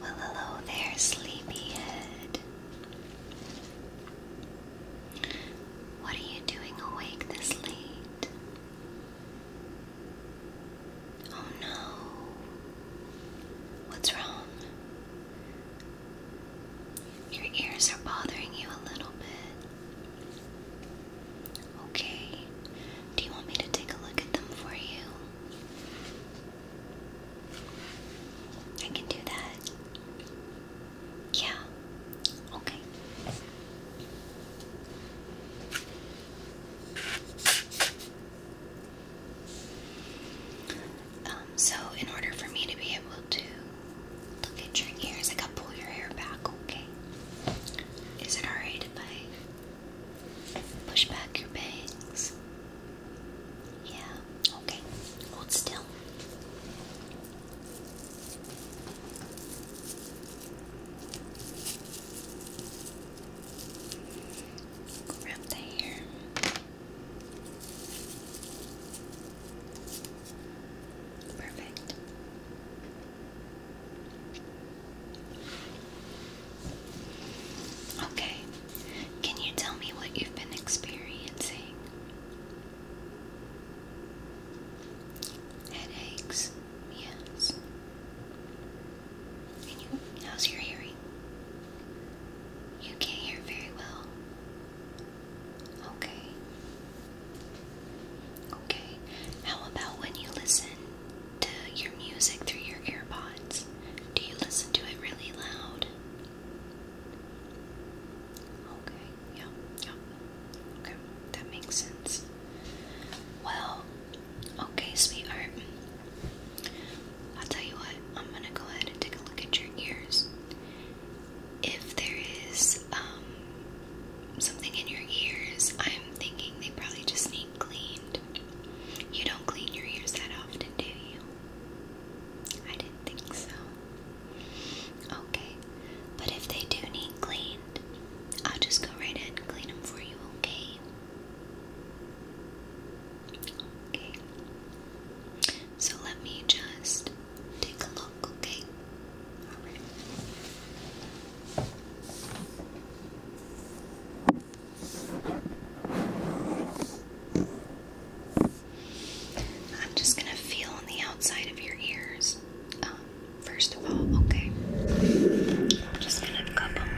Well, hello there, sleepyhead. What are you doing awake this late? Oh no. What's wrong? Your ears are bothering you a little bit. Okay. Do you want me to take a look at them for you? I can do that. Yeah. Okay. Um, so in order for me to be able to look at your ears, I gotta pull your hair back, okay? Is it alright if I Push back your bangs. Yeah, okay. Hold still. Grab the hair. Perfect. Okay, can you tell me what you've been experiencing? Headaches, yes. And you, how's your hearing? You can hear very well. Okay. Okay, how about when you listen? to your music through your AirPods? Do you listen to it really loud? Okay, yeah, yeah. Okay, that makes sense. Well, okay, sweetheart. I'll tell you what, I'm gonna go ahead and take a look at your ears. If there is um, something in your ears, I'm thinking they probably just need clean cleaned. You don't clean your ears that often, do you? I didn't think so. Okay, but if they do need cleaned, I'll just go right ahead and clean them for you, okay? Okay. So let me just take a look, okay? Alright. I'm just going to feel on the outside of your ears. Um, first of all, okay. I'm just going to cup them.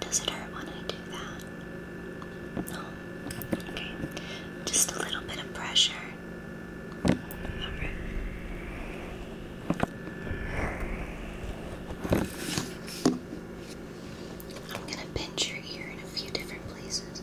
Does it hurt when I do that? Okay. Just a little bit of pressure. I'm gonna pinch your ear in a few different places.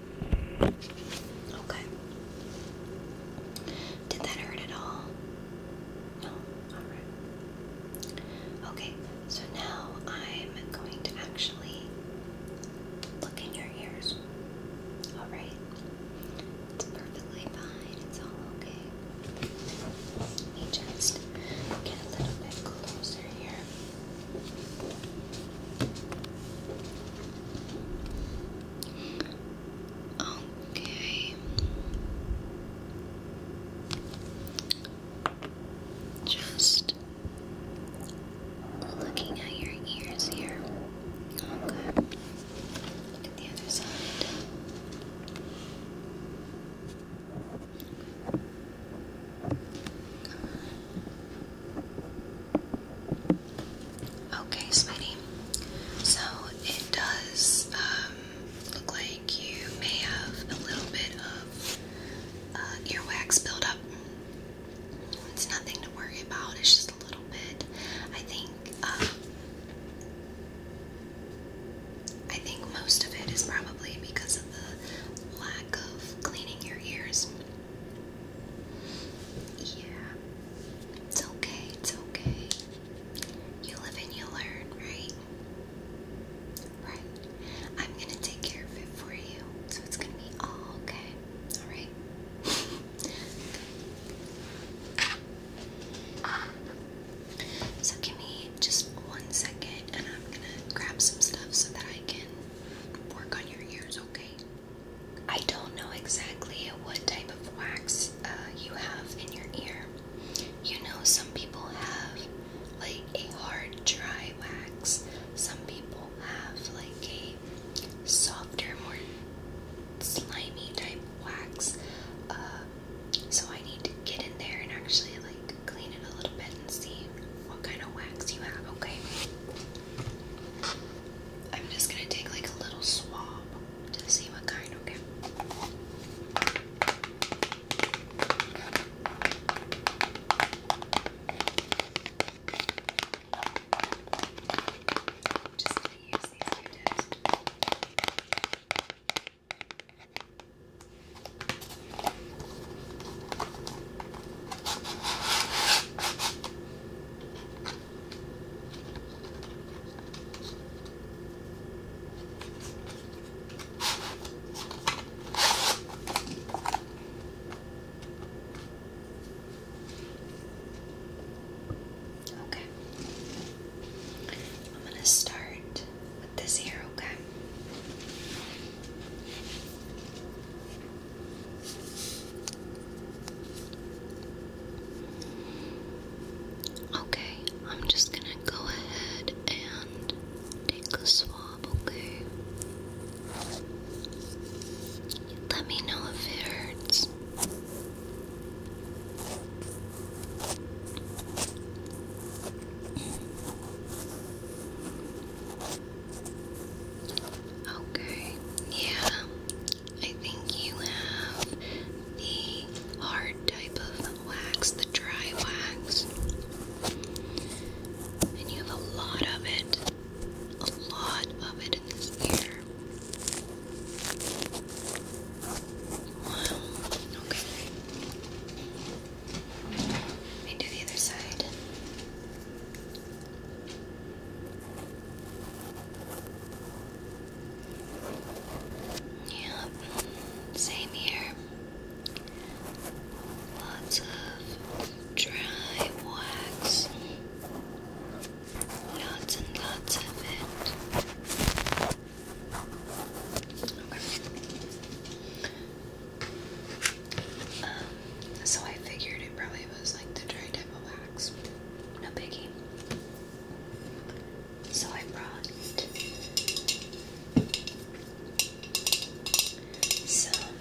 Okay. Did that hurt at all? No? Alright. Okay, so now I'm going to actually look in your ears. Alright? It's perfectly fine. It's all okay. Let me just get a little bit closer here. Okay. Just looking at your ears here. Okay. the other side. Okay, Smitty. So it does um, look like you may have a little bit of uh, earwax buildup. It's nothing to worry about. It's just a little bit. I think. Um, I think most of it is probably because of the lack of cleaning your ears. Yeah. It's okay, it's okay. You live and you learn, right? Right. I'm gonna take care of it for you. So it's gonna be all okay. Alright? so give me just one second and I'm gonna grab some stuff so that I can work on your ears, okay? I don't know exactly what type of wax uh, you have in your ear. You know, some people have like a hard, dry wax, some people have like a softer, more slimy type wax. Uh, so I need to get in there and actually like clean it a little bit and see what kind of wax you have, okay? I'm just gonna take like a little swab to see what kind, okay? just gonna use these two Okay. I'm going to start with this here, okay? Okay, I'm just gonna go ahead and take a swab, okay? Let me know if it hurts. Okay, yeah, I think you have the hard type of wax, the dry wax. And you have a lot of it. A lot of it in this ear. Wow. Okay. Let me do the other side. Yep, same here. Lots of dry wax. Lots and lots of it. Um, so I figured it probably was like the dry type of wax. No biggie. So I brought some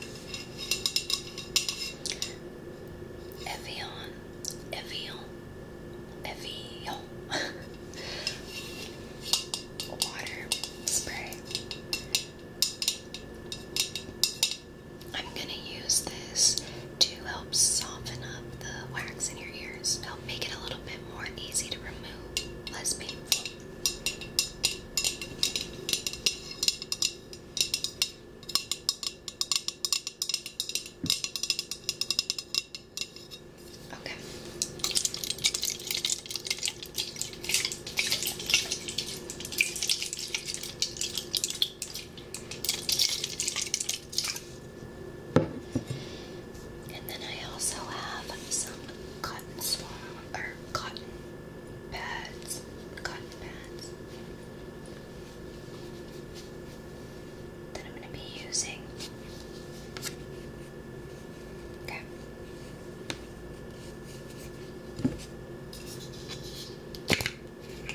Evian, Evian, Evian water spray. I'm going to use this to help soften up the wax in your ears, help make it a little bit more easy to remove, less painful. Okay. And then I also have some cotton swab or cotton pads, cotton pads that I'm going to be using. Okay.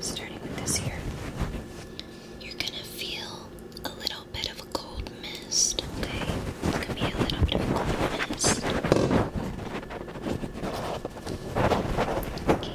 Starting with this here, you're going to feel a little bit of a cold mist, okay? It's going be a little bit of a cold mist. Okay.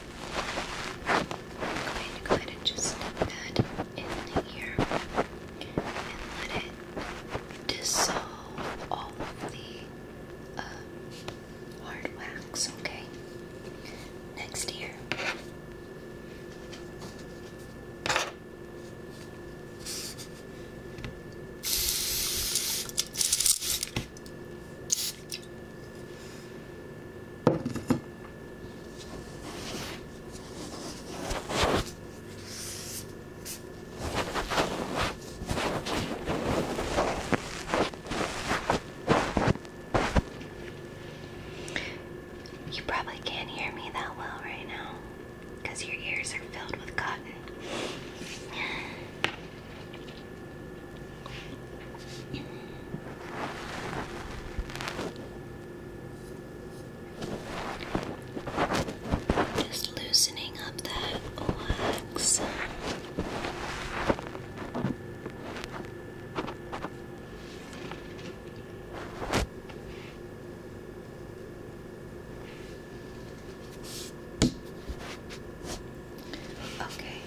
going to go ahead just stick that in here and let it dissolve all of the uh, hard wax, okay? Next here. You probably can't hear me that well right now because your ears are filled with cotton. Just loosening up that wax. Okay,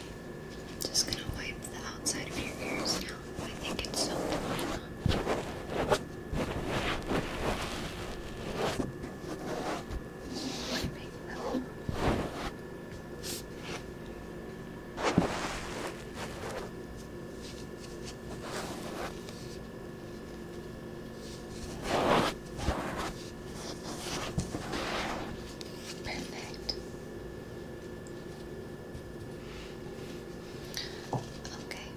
just gonna wipe the outside of your ears now. I think it's so warm. Wiping them. Perfect. Okay.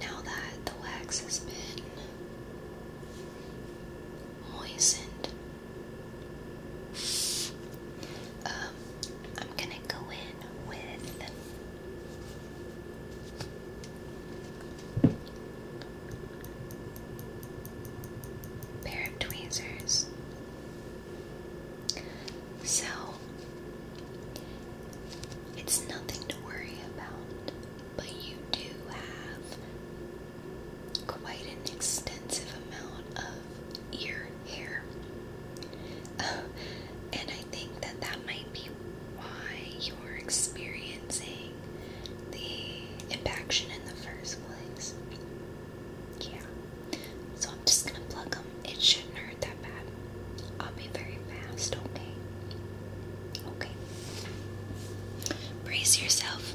Now that the wax has been moistened, um, I'm gonna go in with. Pair of tweezers. So, it's nothing to worry about, but you do have quite an extensive amount of ear hair. and I think that that might be why you're experiencing the impaction in the first place. Yeah. So I'm just gonna plug them. It shouldn't hurt that bad. I'll be very fast, okay? Okay. Brace yourself.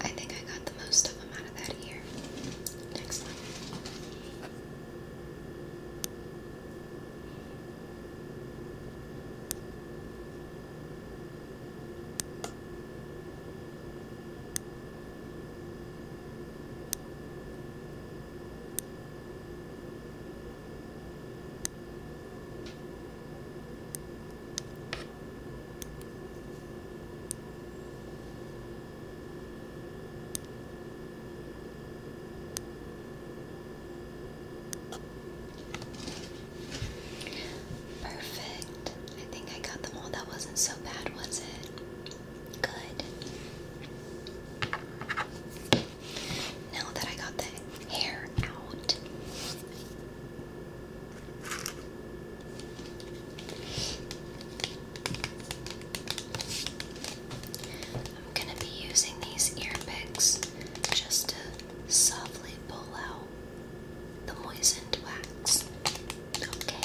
I think I got the most of them out of that year. Next one. Perfect. I think I got them all. That wasn't so bad, was it? Good. Now that I got the hair out, I'm going to be using these ear picks just to softly pull out the moistened wax. Okay.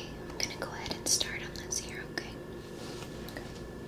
Okay, I'm going to go ahead and start on this here, okay?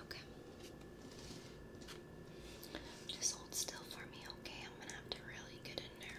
Okay. Just hold still for me, okay? I'm gonna have to really get in there.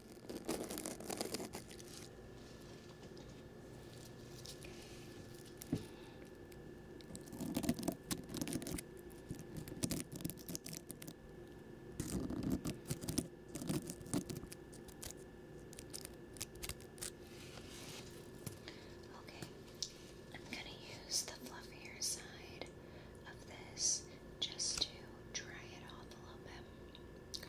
Okay, I'm going to use the fluffier side of this just to dry it off a little bit.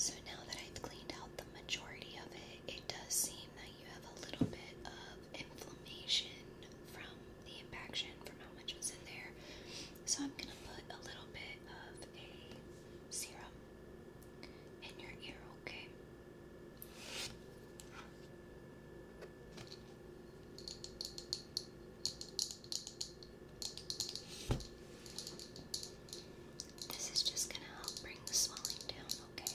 So now that I've cleaned out the majority of it, it does seem that you have a little bit of inflammation from the impaction from how much was in there. So I'm gonna put a little bit of a serum in your ear, okay? This is just gonna help bring the swelling down, okay?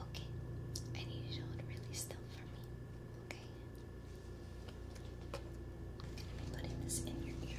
Okay, I need you to hold really still for me. Okay, I'm gonna be putting this in your ear.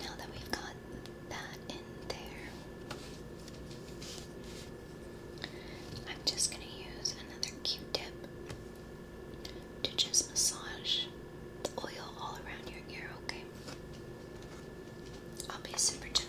Now that we've got that in there, I'm just going to use another Q tip to just massage the oil all around your ear, okay? I'll be super gentle.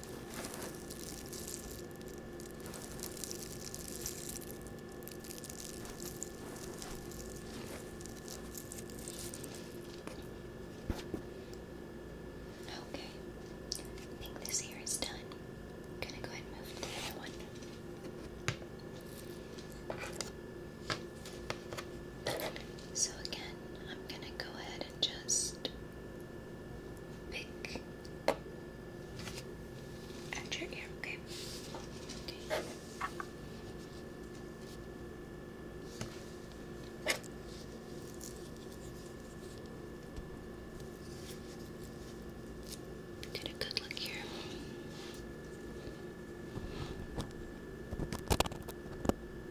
Okay, I think this here is done. I'm gonna go ahead and move the other one. So again, I'm gonna go ahead and just pick and your ear, okay? okay. a good look here.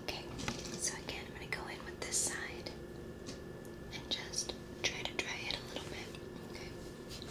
Okay, so again, I'm going to go in with this side and just try to dry it a little bit. Okay.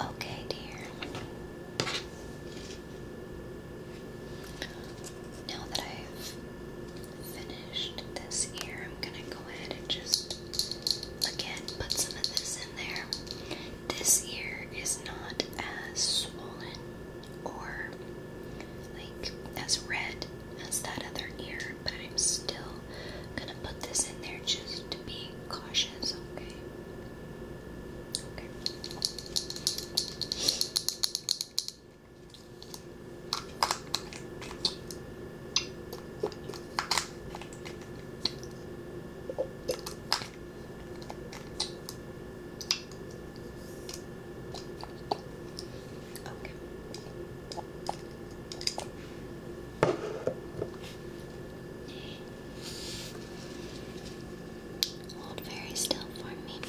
Okay, dear. Now that I've finished this ear, I'm going to go ahead and just again put some of this there. This ear is not as swollen or like as red as that other ear, but I'm still gonna put this in there just to be cautious, Okay. Okay. Hold very still for me. Okay.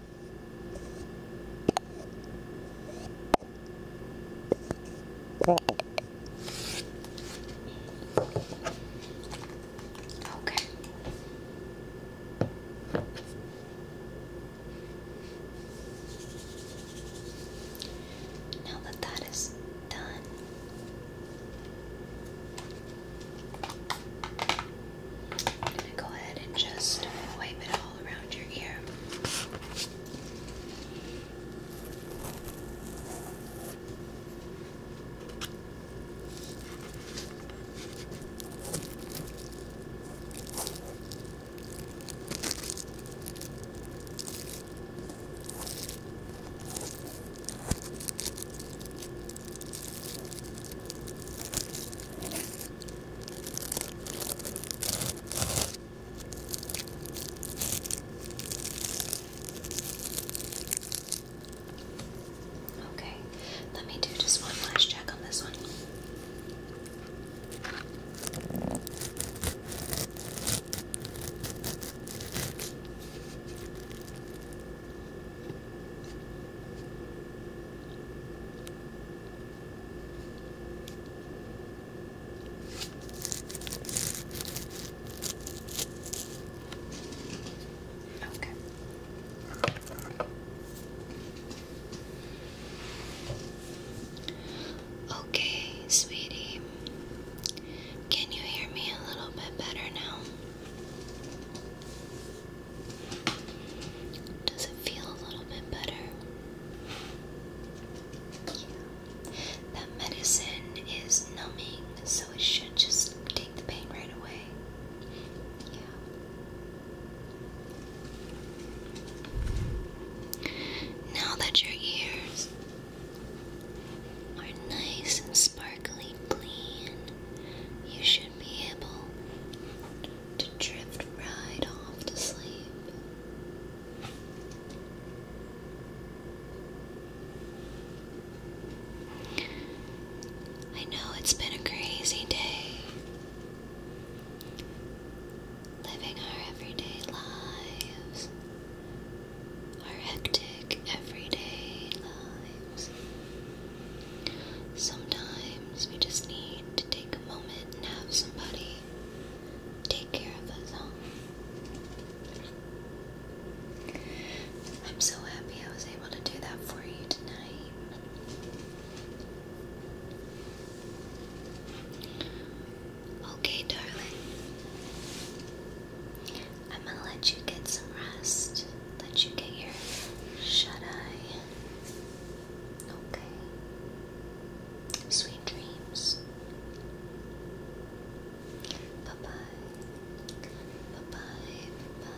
Okay. Now that that is done, I'm going to go ahead and just wipe it all around your ear. Okay, let me do just one last check on this one. Okay. Okay, sweetie. Can you hear me a little bit better now? Does it feel a little bit better? That medicine is numbing, so it should just take the pain right away. Yeah. Now that your ears are nice and sparkly clean, you should be able to drift right off to sleep. I know it's been a crazy day. Living our everyday lives, our hectic everyday lives. Sometimes we just need to take moment and have somebody take care of us I'm so happy I was able to do that for you tonight. Okay, darling. I'm gonna let you get some rest. Let you get your shut eye. Okay. Sweet dreams. Bye bye. Bye bye. Bye bye.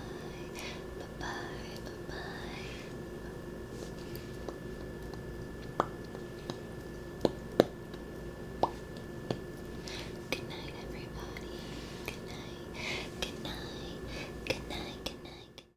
Bye bye. Bye bye. Good night, everybody. Good night. Good night. Good night. Good night.